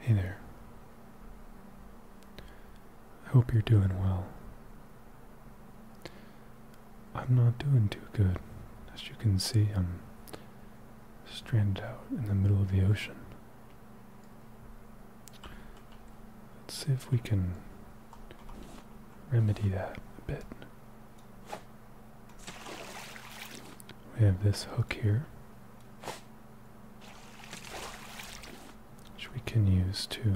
Hey there. I hope you're doing well. I'm not doing too good. As you can see, I'm stranded out in the middle of the ocean. Let's see if we can remedy that a bit. We have this hook here, which we can use to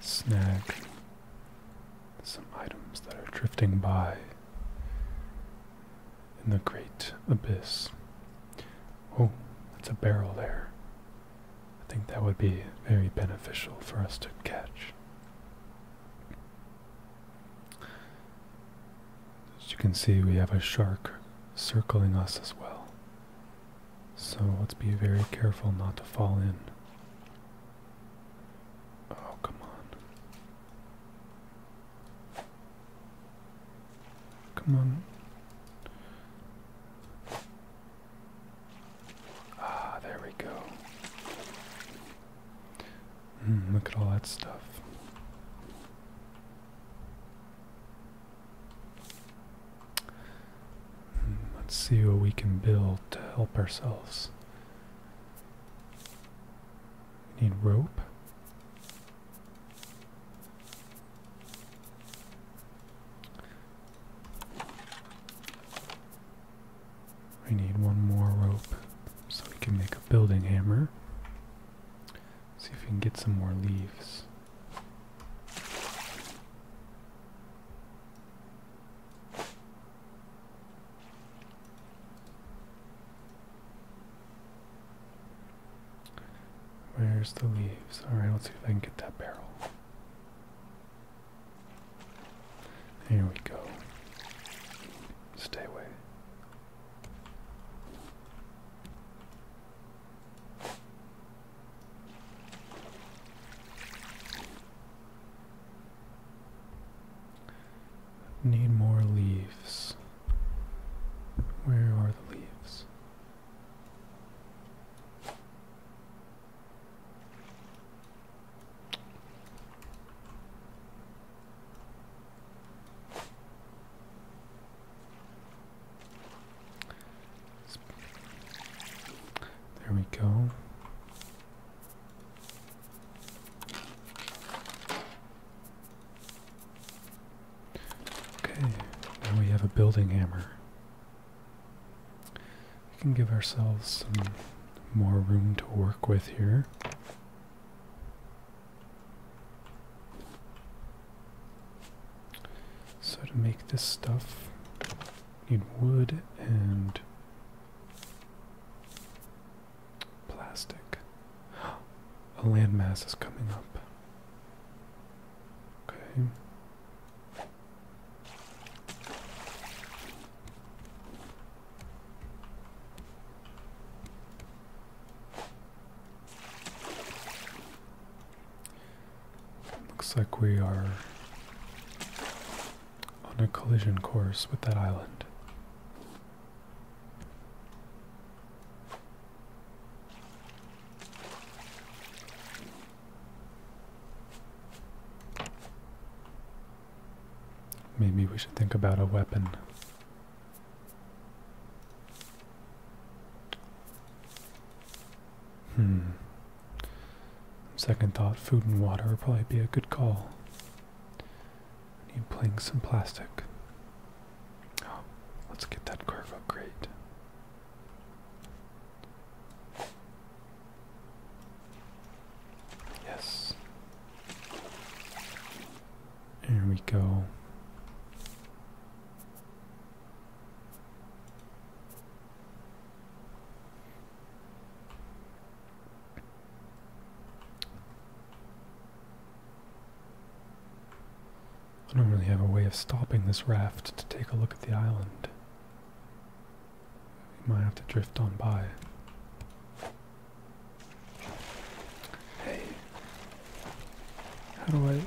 snag some items that are drifting by in the great abyss. Oh, that's a barrel there. I think that would be very beneficial for us to catch. As you can see, we have a shark circling us as well. So let's be very careful not to fall in. Oh, come on. Come on. Ah, there we go. Hmm, look at all that stuff. Hmm, let's see what we can build to help ourselves. We need rope. We need one more rope so we can make a building hammer. See if we can get some more leaves. Where's the leaves? Alright, let's see if I can get that barrel. Here we go. Stay away. Need more leaves. Where are the leaves? There we go. Okay, now we have a building hammer. We can give ourselves some more room to work with here. So to make this stuff, need wood and plastic. A landmass is coming up. Okay. Looks like we are on a collision course with that island. Maybe we should think about a weapon. Hmm. Second thought, food and water would probably be a good call. I need planks and plastic. Oh, let's get that carve upgrade. Yes. There we go. I don't really have a way of stopping this raft to take a look at the island. We might have to drift on by. Hey. How do I.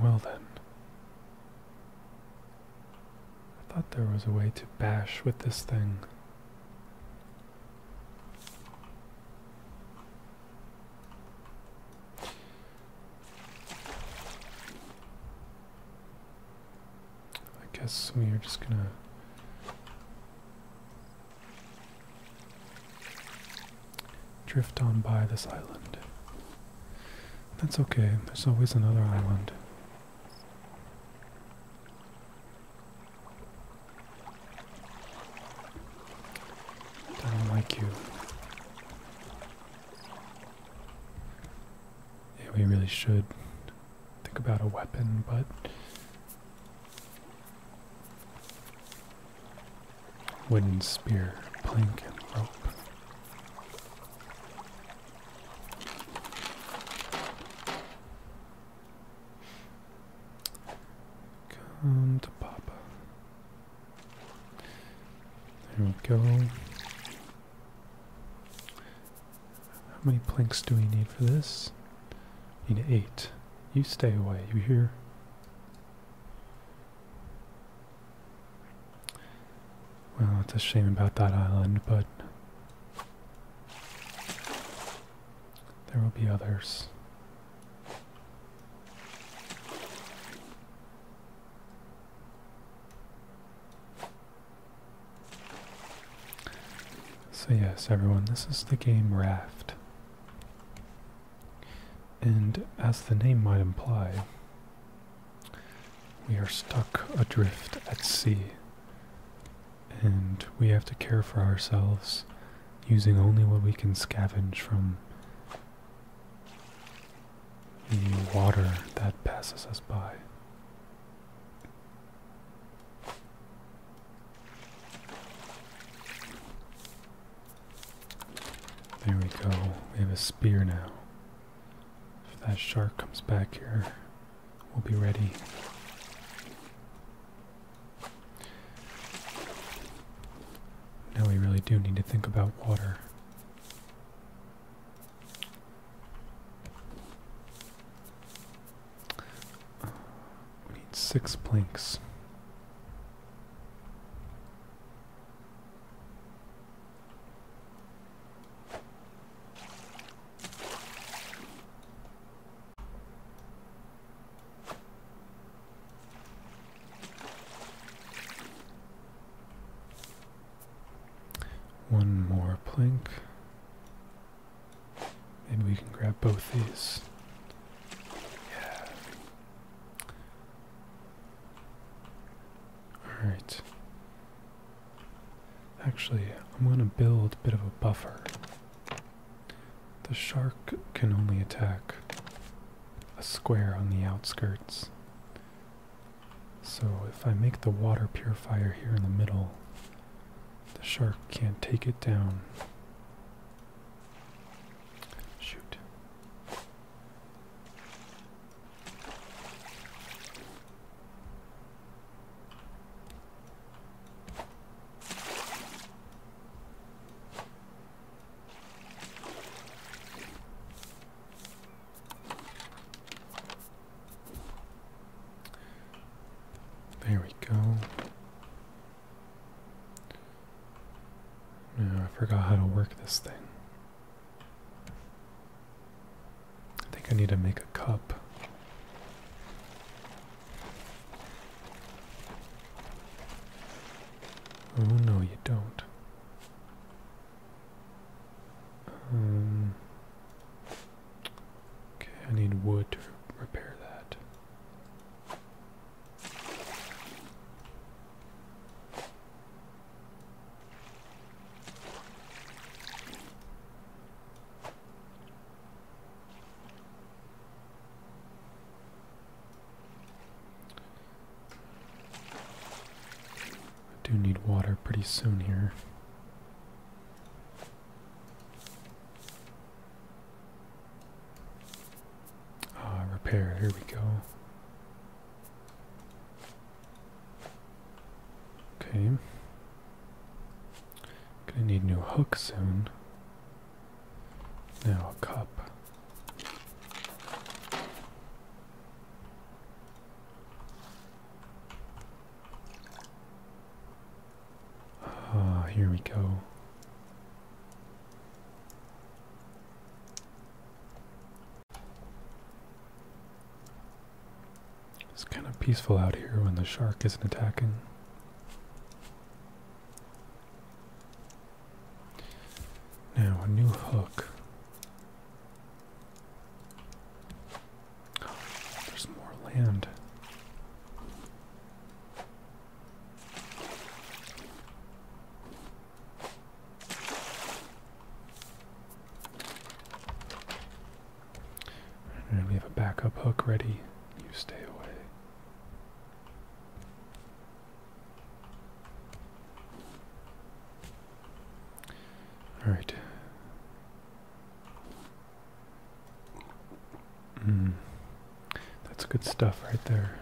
Well then. I thought there was a way to bash with this thing. I guess we are just gonna drift on by this island. That's okay, there's always another island. I don't like you. Yeah, we really should think about a weapon, but wooden spear, plank, and rope. Come to Papa. There we go. How many planks do we need for this? We need eight. You stay away, you hear? Well, it's a shame about that island, but there will be others. So yes, everyone, this is the game Raft. And as the name might imply, we are stuck adrift at sea and we have to care for ourselves using only what we can scavenge from the water that passes us by. There we go. We have a spear now. If that shark comes back here, we'll be ready. Now we really do need to think about water. We need six planks. One more plank. Maybe we can grab both these. Yeah. Alright. Actually, I'm going to build a bit of a buffer. The shark can only attack a square on the outskirts. So if I make the water purifier here in the middle, the shark can't take it down. Shoot. There we go. No, I forgot how to work this thing. I think I need to make a cup. Oh no, you don't. Um, okay, I need wood to repair that. I do need water pretty soon here. Ah, repair, here we go. Okay. Gonna need new hook soon. Now a cup. Ah, here we go. It's kind of peaceful out here when the shark isn't attacking. Now, a new hook. there's more land. And we have a backup hook ready. You stay away. All right. Mm. That's good stuff right there.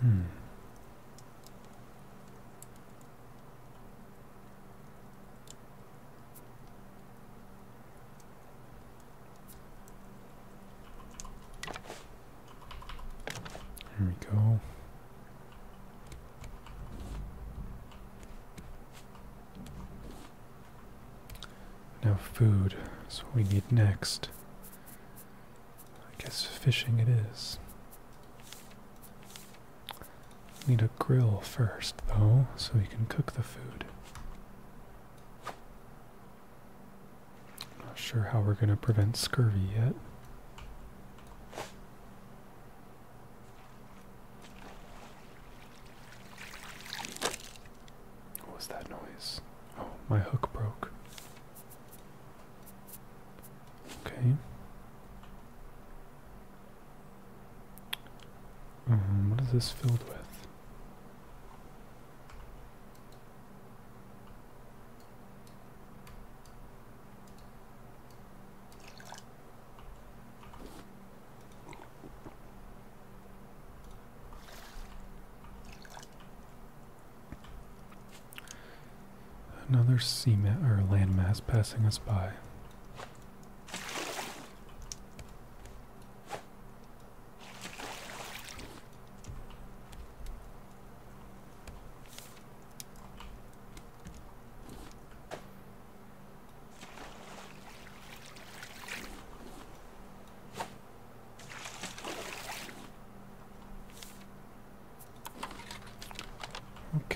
Hmm. Here we go. Now food is what we need next. I guess fishing it is. Need a grill first, though, so we can cook the food. Not sure how we're going to prevent scurvy yet. What was that noise? Oh, my hook broke. Okay. Um, what is this filled with? Another sea ma or landmass passing us by.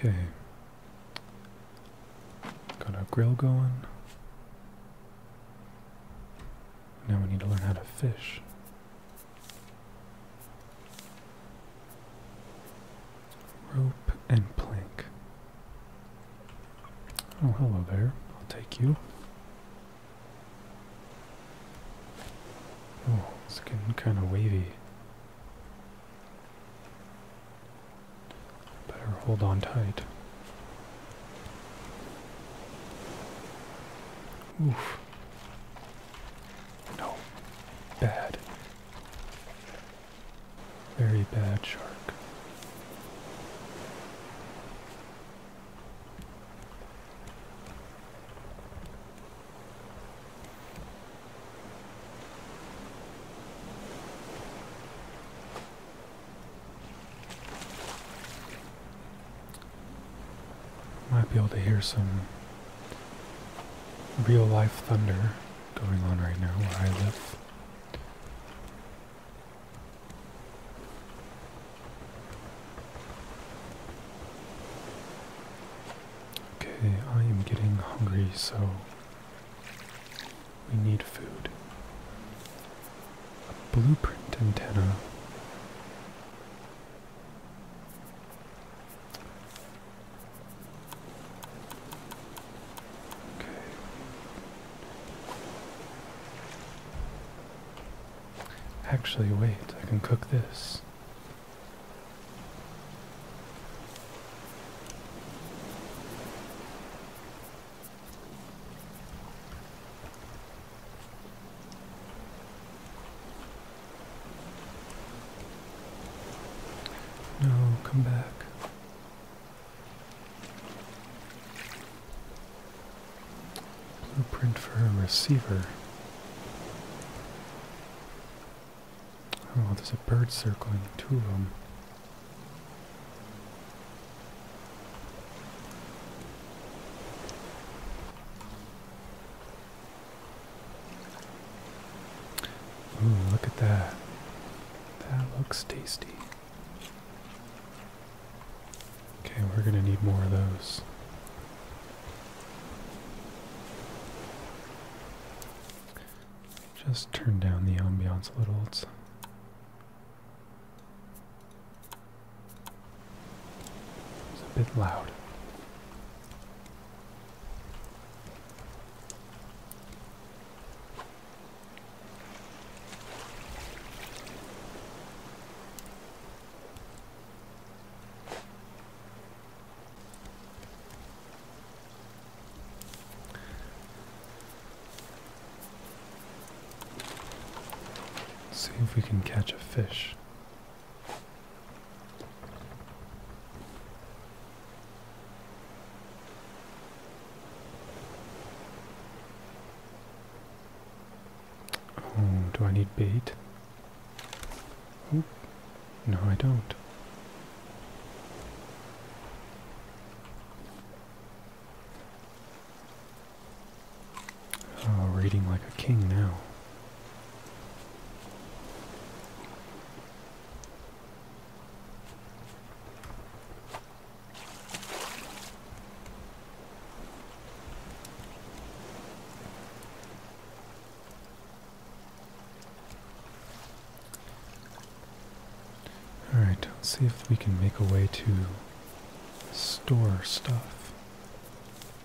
Okay. Got our grill going. Now we need to learn how to fish. Rope and plank. Oh, hello there. I'll take you. Oh, it's getting kind of wavy. Better hold on tight. Oof. No. Bad. Very bad shark. Might be able to hear some real life thunder going on right now where I live. Okay, I am getting hungry, so we need food. A blueprint antenna. Actually, wait, I can cook this. No, come back. Blueprint for a receiver. Oh, there's a bird circling, two of them. Ooh, look at that. That looks tasty. Okay, we're going to need more of those. Just turn down the ambiance a little. It's a bit loud. see if we can catch a fish. Oh, do I need bait? No, I don't. Oh, reading like a king now. Alright, let's see if we can make a way to store stuff.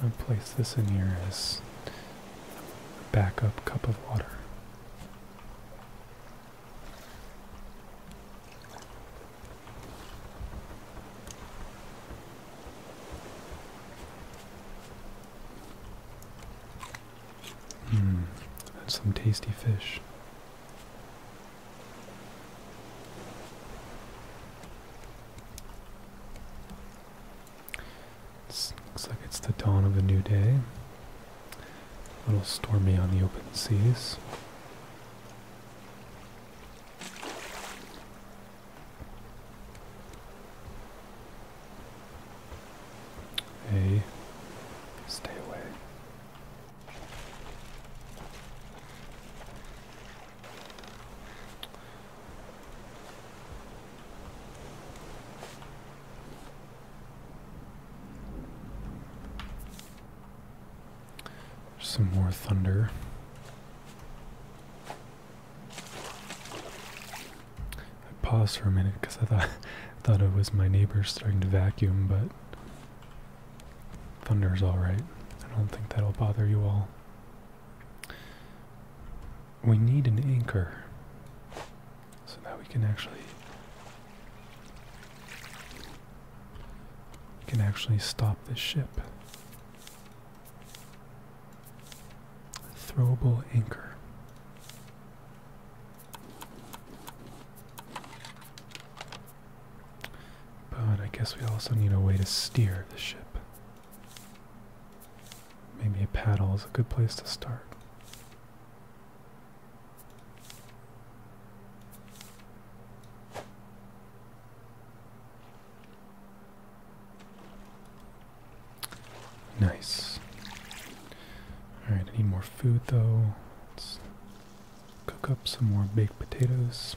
i will place this in here as a backup cup of water. Mmm, that's some tasty fish looks like it's the dawn of a new day. A little stormy on the open seas. Hey, stay away. Some more thunder. I paused for a minute because I thought thought it was my neighbor starting to vacuum, but thunder's alright. I don't think that'll bother you all we need an anchor so that we can actually can actually stop this ship. A throwable anchor. But I guess we also need a way to steer the ship. Maybe a paddle is a good place to start. Nice. Alright, I need more food though. Let's cook up some more baked potatoes.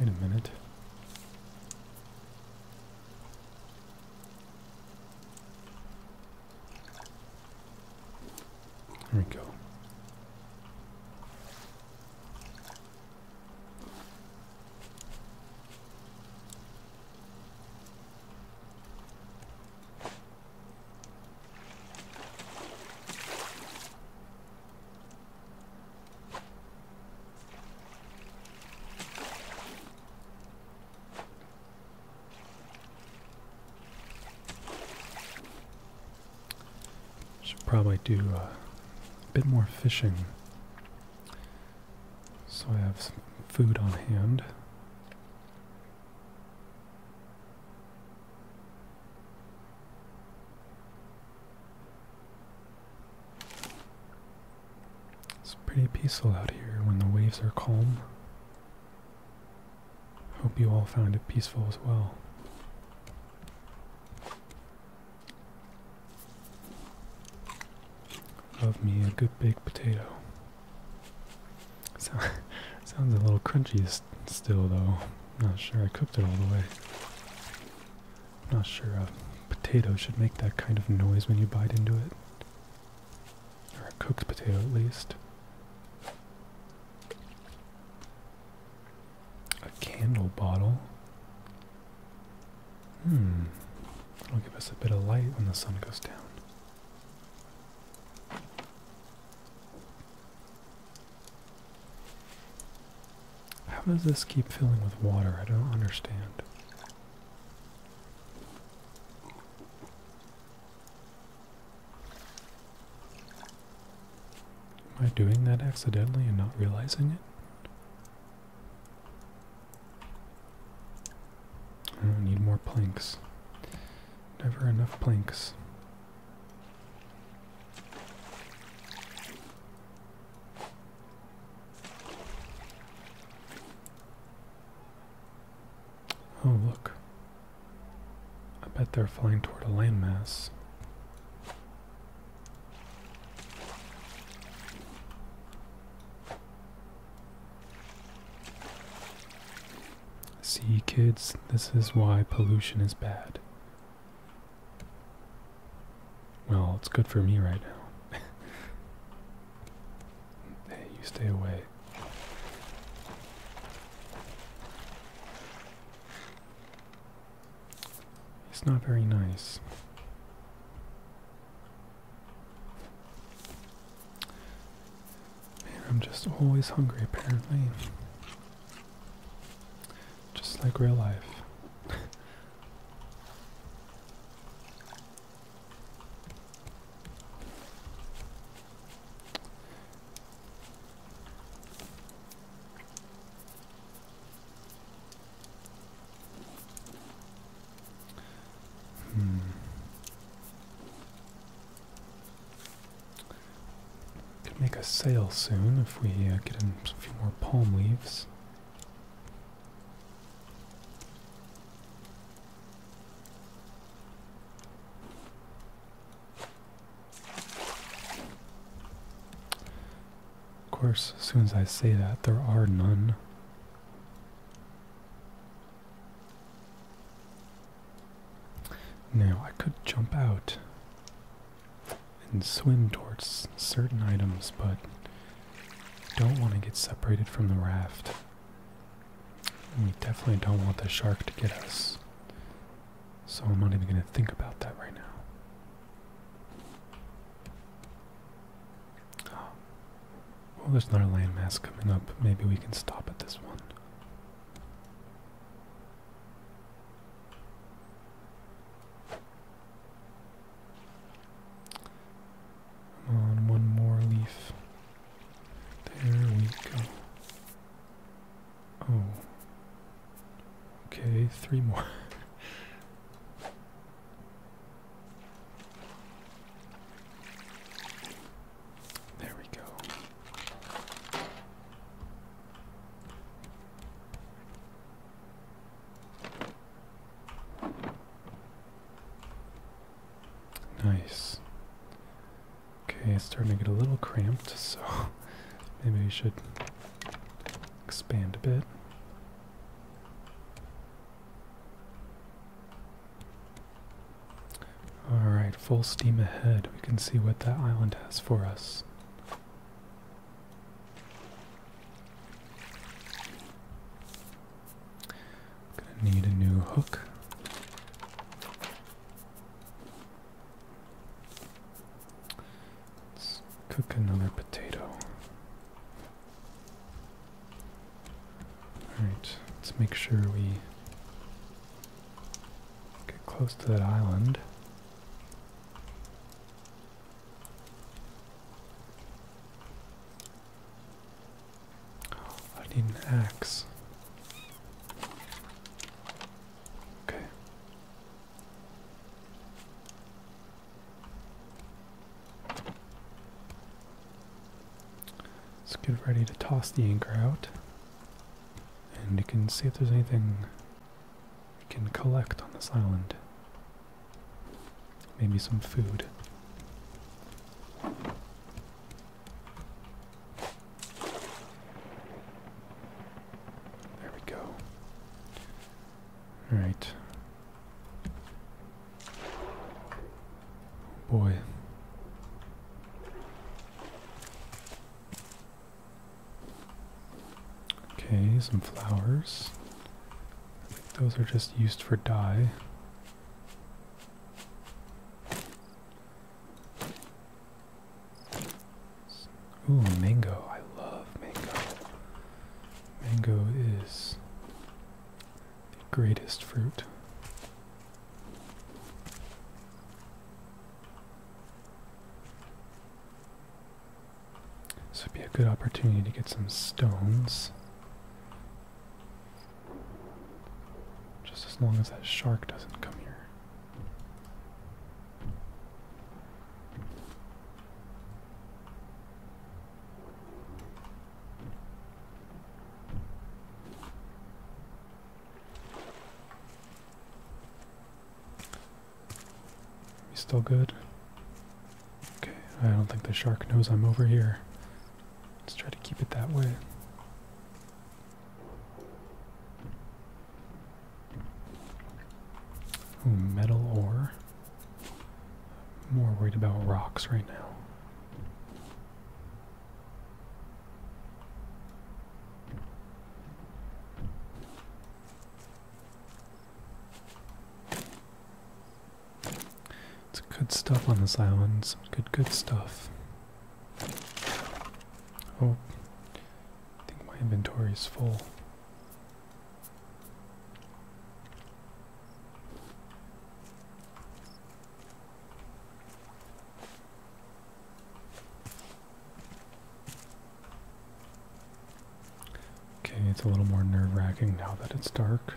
Wait a minute. There we go. Should probably do a bit more fishing so I have food on hand. It's pretty peaceful out here when the waves are calm. Hope you all found it peaceful as well. Love me a good baked potato. sounds a little crunchy still, though. Not sure I cooked it all the way. Not sure a potato should make that kind of noise when you bite into it. Or a cooked potato at least. A candle bottle. Hmm. It'll give us a bit of light when the sun goes down. How does this keep filling with water? I don't understand. Am I doing that accidentally and not realizing it? Oh, I need more planks. Never enough planks. Oh, look. I bet they're flying toward a landmass. See, kids, this is why pollution is bad. Well, it's good for me right now. you stay away. It's not very nice. Man, I'm just always hungry, apparently. Just like real life. hmm. Could make a sail soon if we uh, get a few more palm leaves. Of course, as soon as I say that, there are none. Now, I could jump out and swim towards certain items, but don't want to get separated from the raft. we definitely don't want the shark to get us. So I'm not even going to think about that right now. Well, there's another landmass coming up. Maybe we can stop at this one on, one more leaf. There we go. Oh. Okay, three more. there we go. Nice. Okay, it's starting to get a little cramped, so maybe we should expand a bit. Alright, full steam ahead. We can see what that island has for us. Gonna need a new hook. Let's cook another potato. Alright, let's make sure we get close to that island. I need an axe. Okay. Let's get ready to toss the anchor out. And you can see if there's anything you can collect on this island. Maybe some food. There we go. Alright. Oh, boy. Okay, some flowers. I think those are just used for dye. Ooh, mango. I love mango. Mango is the greatest fruit. This would be a good opportunity to get some stones. Just as long as that shark doesn't come here. We still good? Okay, I don't think the shark knows I'm over here. Let's try to keep it that way. metal ore. more worried about rocks right now. It's good stuff on this island, some good, good stuff. Oh, I think my inventory is full. Okay, it's a little more nerve wracking now that it's dark.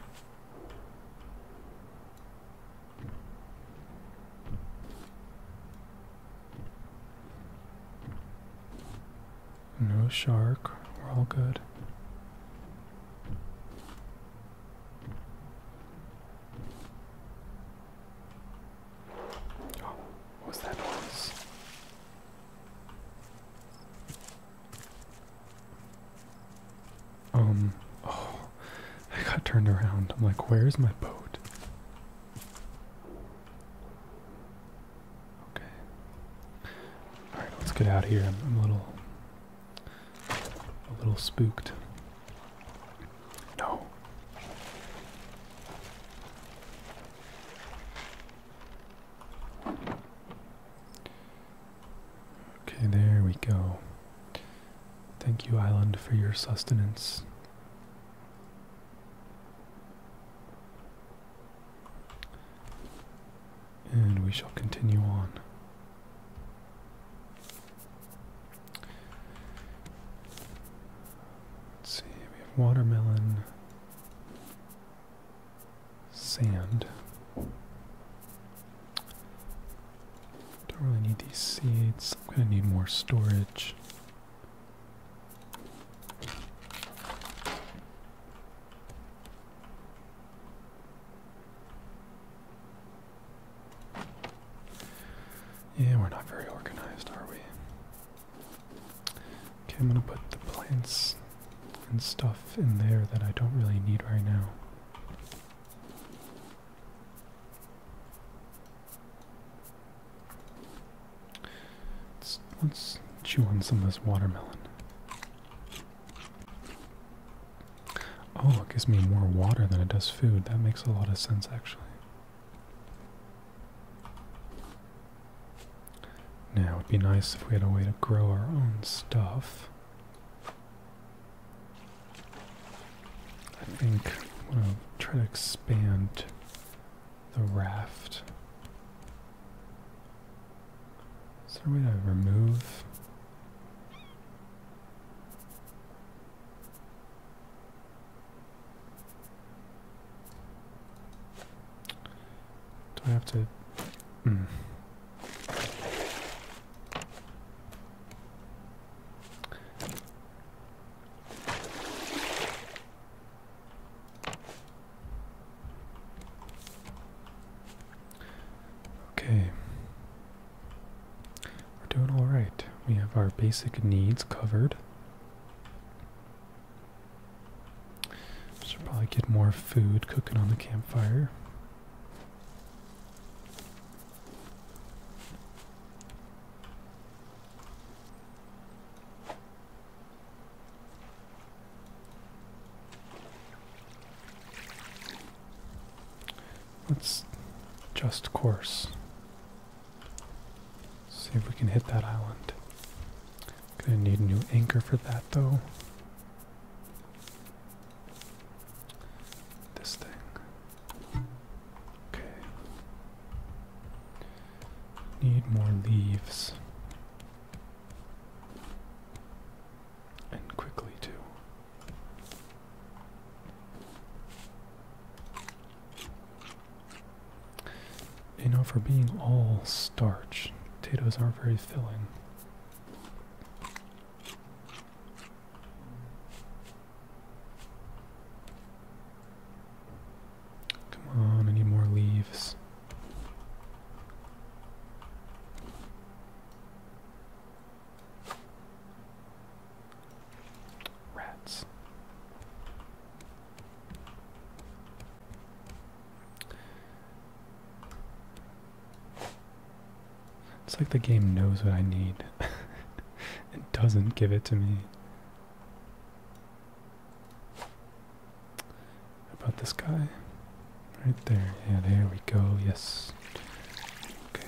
No shark, we're all good. Oh, what was that noise? Um, oh, I got turned around. I'm like, where's my boat? Okay. Alright, let's get out here. I'm, I'm a little, a little spooked. No. Okay, there we go. Thank you, island, for your sustenance. And we shall continue on. Let's see, we have watermelon, sand. Don't really need these seeds. I'm going to need more storage. Yeah, we're not very organized, are we? Okay, I'm gonna put the plants and stuff in there that I don't really need right now. Let's, chew on some of this watermelon. Oh, it gives me more water than it does food. That makes a lot of sense, actually. Now, it would be nice if we had a way to grow our own stuff. I think I'm going to try to expand the raft. Is there a way to remove? Do I have to... Hmm. Okay. We're doing all right. We have our basic needs covered. Should probably get more food cooking on the campfire. Let's just course. See if we can hit that island. Gonna need a new anchor for that though. This thing. Okay. Need more leaves. And quickly too. You know, for being all starch, potatoes are not very filling. Come on, I need more leaves. Rats. It's like the game knows what I need. it doesn't give it to me. about this guy? Right there. Yeah, there we go. Yes. Okay.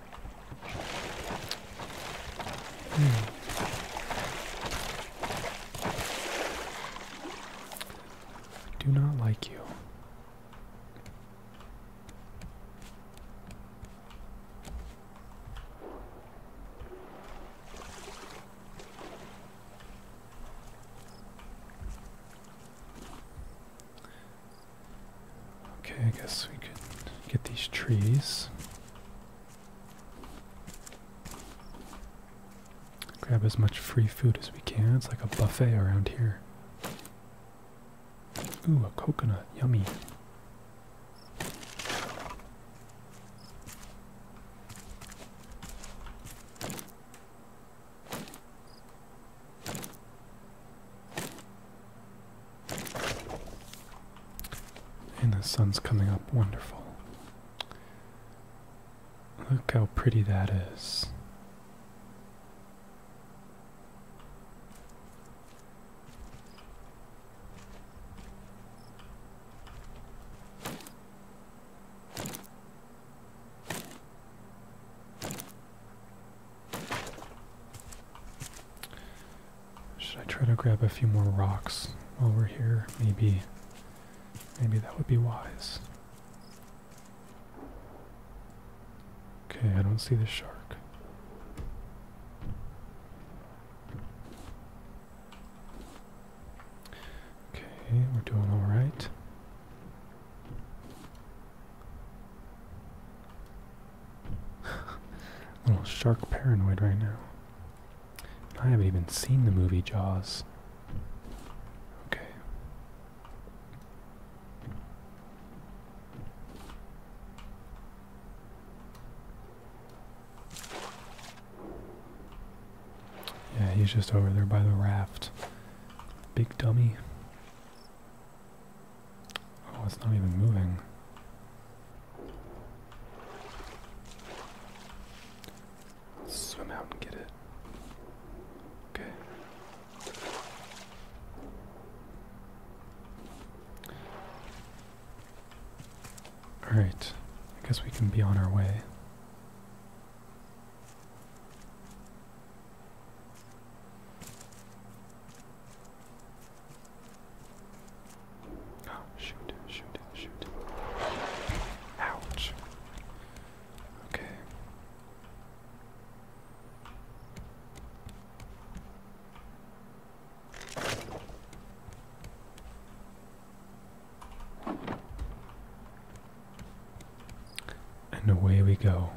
I Do not like you. Okay, I guess we can get these trees. Grab as much free food as we can. It's like a buffet around here. Ooh, a coconut. Yummy. And the sun's coming up wonderful. Look how pretty that is. Should I try to grab a few more rocks over here? Maybe, maybe that would be wise. Okay, I don't see the shark. Okay, we're doing all right little shark paranoid right now. I haven't even seen the movie Jaws. Okay. Yeah, he's just over there by the raft. Big dummy. Oh, it's not even moving. swim out and get it. Okay. Alright, I guess we can be on our way. Oh, shoot, shoot, shoot. Ouch. Okay. And away we go.